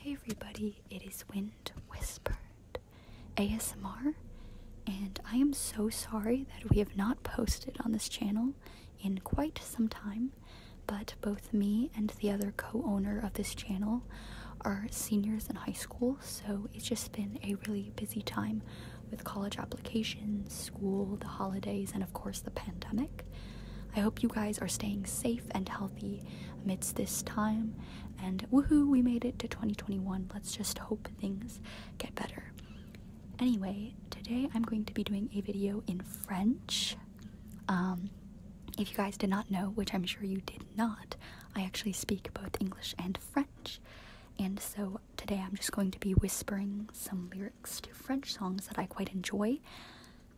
Hey everybody, it is Wind Whispered ASMR, and I am so sorry that we have not posted on this channel in quite some time, but both me and the other co owner of this channel are seniors in high school, so it's just been a really busy time with college applications, school, the holidays, and of course, the pandemic. I hope you guys are staying safe and healthy amidst this time. And woohoo, we made it to 2021. Let's just hope things get better. Anyway, today I'm going to be doing a video in French. Um, if you guys did not know, which I'm sure you did not, I actually speak both English and French. And so today I'm just going to be whispering some lyrics to French songs that I quite enjoy.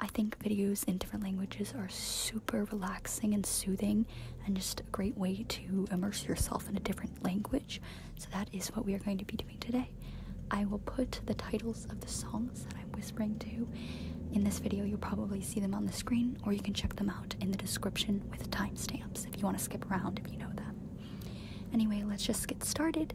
I think videos in different languages are super relaxing and soothing and just a great way to immerse yourself in a different language. So that is what we are going to be doing today. I will put the titles of the songs that I'm whispering to in this video. You'll probably see them on the screen or you can check them out in the description with timestamps if you want to skip around if you know them. Anyway, let's just get started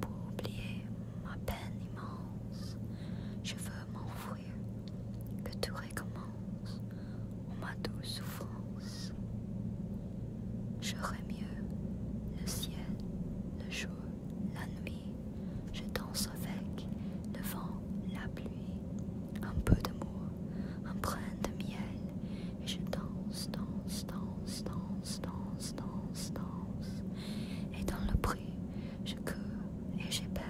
pour oublier ma peine immense. Je veux m'enfuir, que tout recommence, ou ma douce souffrance. J'aurais mieux le ciel, le jour, la nuit. Je danse avec le vent, la pluie, un peu d'amour, un brin de miel et je danse, danse, danse, danse, danse, danse, danse. Et dans le prix, je cours et j'ai peur.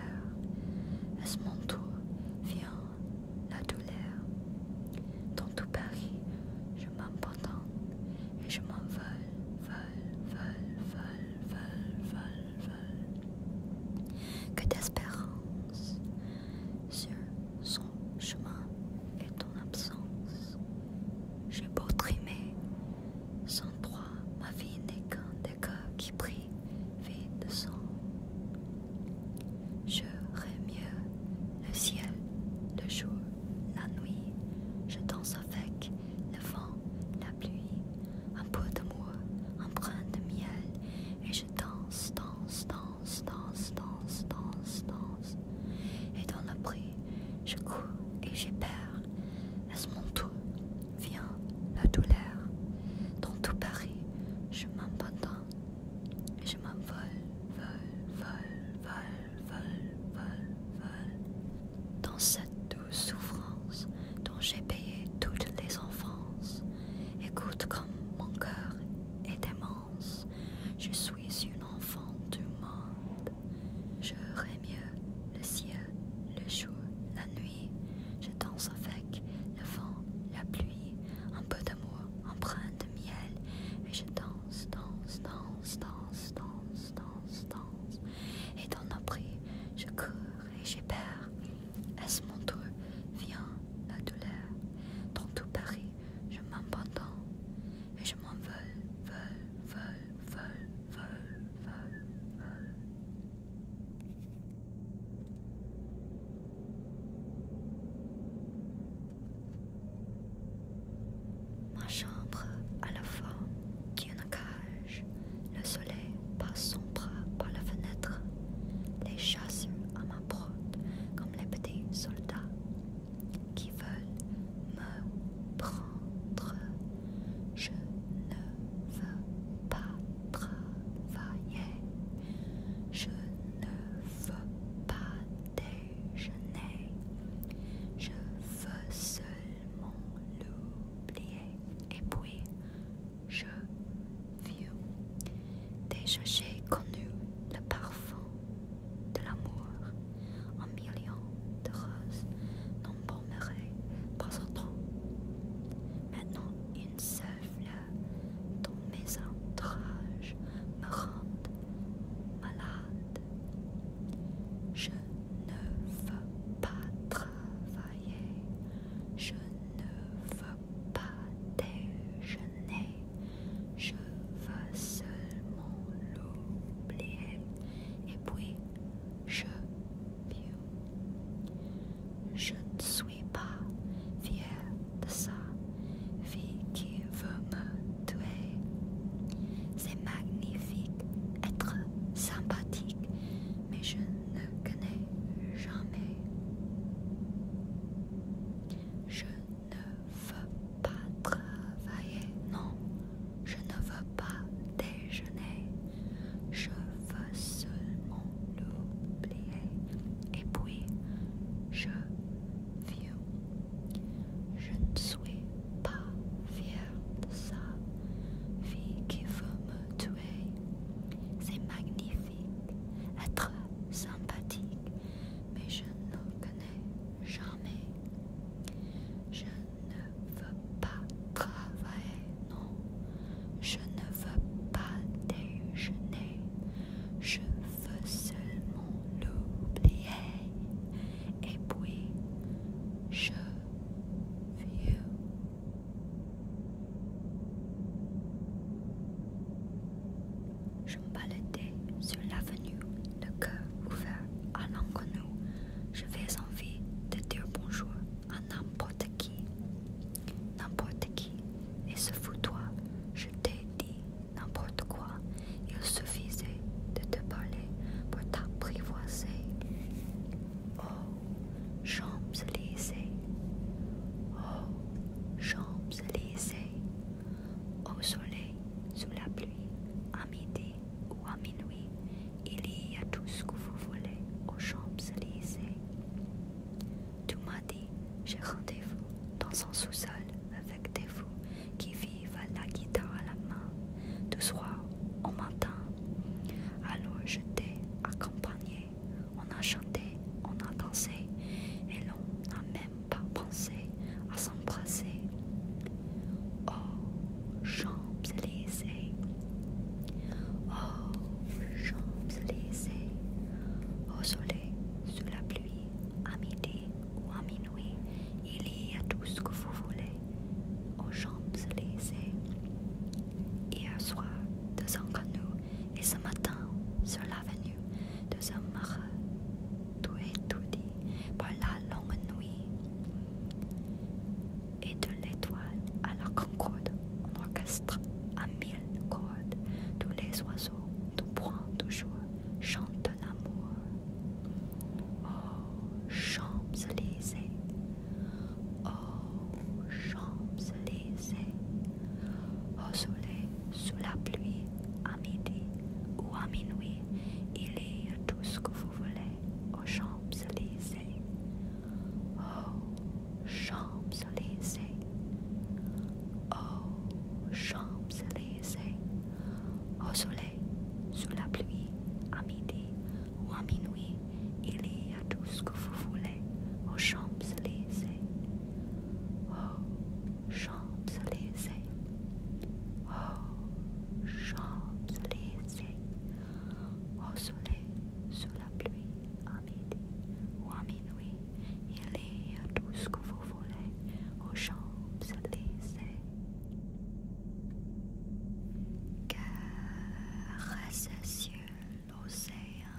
À ce mon tour vient la douleur. Dans tout Paris, je m'abandonne et je m'envole, vole, vole, vole, vole, vole, vole. Que d'espérance sur son chemin et ton absence. J'ai beau trimer, sans droit, ma vie n'est qu'un décor qui brille vie de sang. rêve mieux le ciel, le jour, la nuit. Je danse avec le vent, la pluie, un peu de moi, un brin de miel, et je danse, danse, danse danse, danse, danse, danse, danse. Et dans le bruit, je cours et j'ai peur. ce mon tour vient la douleur. Dans tout Paris, je m'abandonne. Je m'envole, vole, vole, vole, vole, vole, vole. Dans cette douce souffrance dont j'ai payé toutes les enfances, écoute comme mon cœur est aimant. Je suis une enfant du monde. Je mieux le ciel, le jour, la nuit. Je danse avec le vent, la pluie, un peu d'amour, empreinte de miel. Et je danse, danse, danse, danse, danse, danse, danse. Et dans nos je cours et peur. Est-ce mon tour Viens la douleur dans tout Paris je m'abandonne et je m'en veux, veux, veux, veux, veux, veux, Ma chambre a la forme d'une cage. Le soleil passe son bras par la fenêtre. Les chats à comme les petits soldats qui veulent me prendre. Je ne veux pas travailler, je ne veux pas déjeuner, je veux seulement l'oublier et puis je vieux. Déjà j'ai connu le parfum de l'amour Un million de roses n'embaumeraient pas autant. Maintenant une seule fleur dont mes entrages me rend malade. Je ne veux pas travailler, je ne veux pas déjeuner, je veux seulement l'oublier et puis je vieux. Je ne suis pas fière de ça, vie qui veut me tuer. C'est magnifique être sympathique, mais je ne connais jamais. Je ne veux pas travailler, non, je ne veux pas déjeuner, je veux seulement l'oublier. Et puis, je viens. Je ne suis pas fière de sa vie qui veut me c'est magnifique, être sympathique, mais je ne connais jamais. Je ne veux pas travailler, non. Je ne veux pas déjeuner. Je veux seulement l'oublier. Et puis, je vieux. Je me baladais sur l'avenue, le cœur ouvert à l'inconnu. Je fais envie de dire bonjour à n'importe qui. N'importe qui. Et ce toi je t'ai dit n'importe quoi. Il suffisait de te parler pour t'apprivoiser. Oh! Champs-Élysées, Oh! Champs-Élysées, au soleil, sous la pluie, à midi ou à minuit, il y a tout ce que vous voulez aux Champs-Élysées. Tout m'as dit, j'ai rendez-vous dans son sous-sol avec des fous qui vivent à la guitare à la main, du soir au matin. Alors je t'ai accompagné on a chanté, on a dansé, et l'on n'a même pas pensé à s'embrasser. Oh, champs lésés, Oh, champs lésés, Au soleil, sous la pluie, à midi ou à minuit, il y a tout ce que vous voulez. Aux Champs-Élysées, Hier soir, son canot, et ce matin, sur l'avenue, de un marais tout dit par la longue nuit. Et de l'étoile à la concorde, un orchestre à mille cordes, tous les oiseaux, tout point, toujours, chantent l'amour. Oh, Champs-Élysées, Oh, champs lésés, au soleil, sous la pluie, à midi ou à minuit, il est tout ce que vous voulez Oh, champs lésés, oh, champs lésés, oh, champs lésés, au soleil, sous la pluie, à midi ou minuit, il y a tout ce que vous voulez aux Champs-Élysées. Oh, Champs-Élysées. Oh, Champs-Élysées. Au soleil, sous la pluie, à midi ou à minuit, il y a tout ce que vous voulez aux Champs-Élysées cieux l'océan,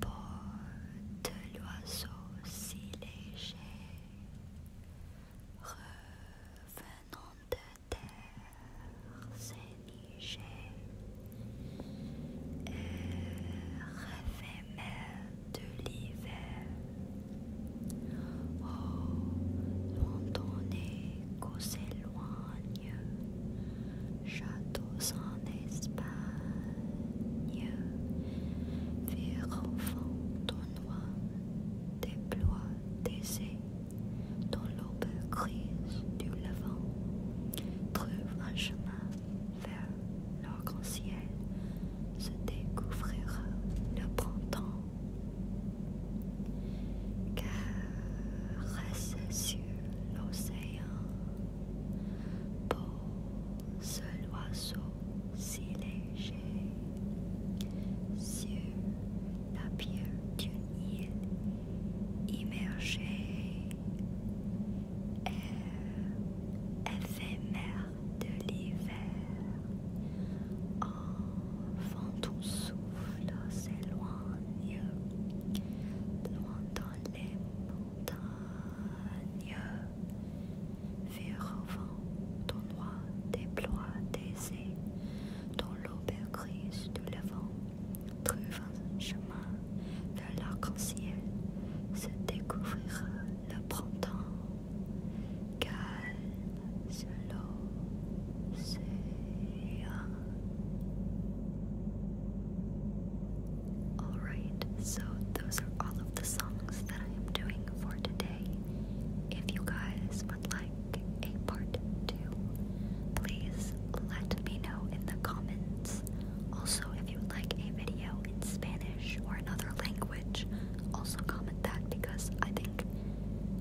porte l'oiseau si léger, revenant de terre s'éniger, air éphémère de l'hiver. Oh, ton qu'on s'éloigne, château en Espagne, vers au fond noir, déploie des dans l'aube grise du levant, trouve un chemin vers l'arc-en-ciel, se découvrira le printemps reste sur l'océan, pour ce l'oiseau si léger sur la pierre d'une île immergée, air éphémère de l'hiver. vent ton souffle s'éloigne, loin dans les montagnes. Vers au vent, ton noir déploie des ailes, dans l'aube grise de levant, trouve un chemin vers l'arc-en-ciel, se découvrira le printemps. Calme l'océan. Alright, so those are all of the songs that I am doing for today. If you guys would like a part two, please let me know in the comments. Also, if you would like a video in Spanish, or another language, also comment that because I think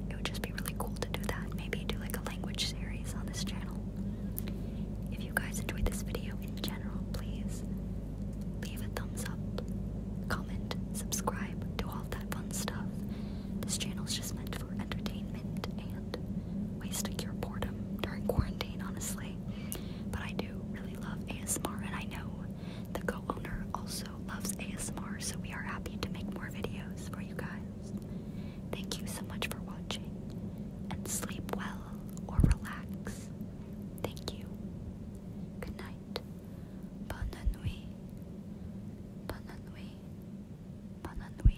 it would just be really cool to do that. Maybe do like a language series on this channel. If you guys enjoyed this video in general, please leave a thumbs up, comment, subscribe, do all that fun stuff. This channel is just meant for entertainment and waste to cure boredom during quarantine, honestly. But I do really love ASMR, and I know the owner also loves ASMR, so we are happy to make more videos for you guys. Thank you so much for watching, and sleep well or relax. Thank you. Good night. Bonne nuit. Bonne nuit. Bonne nuit.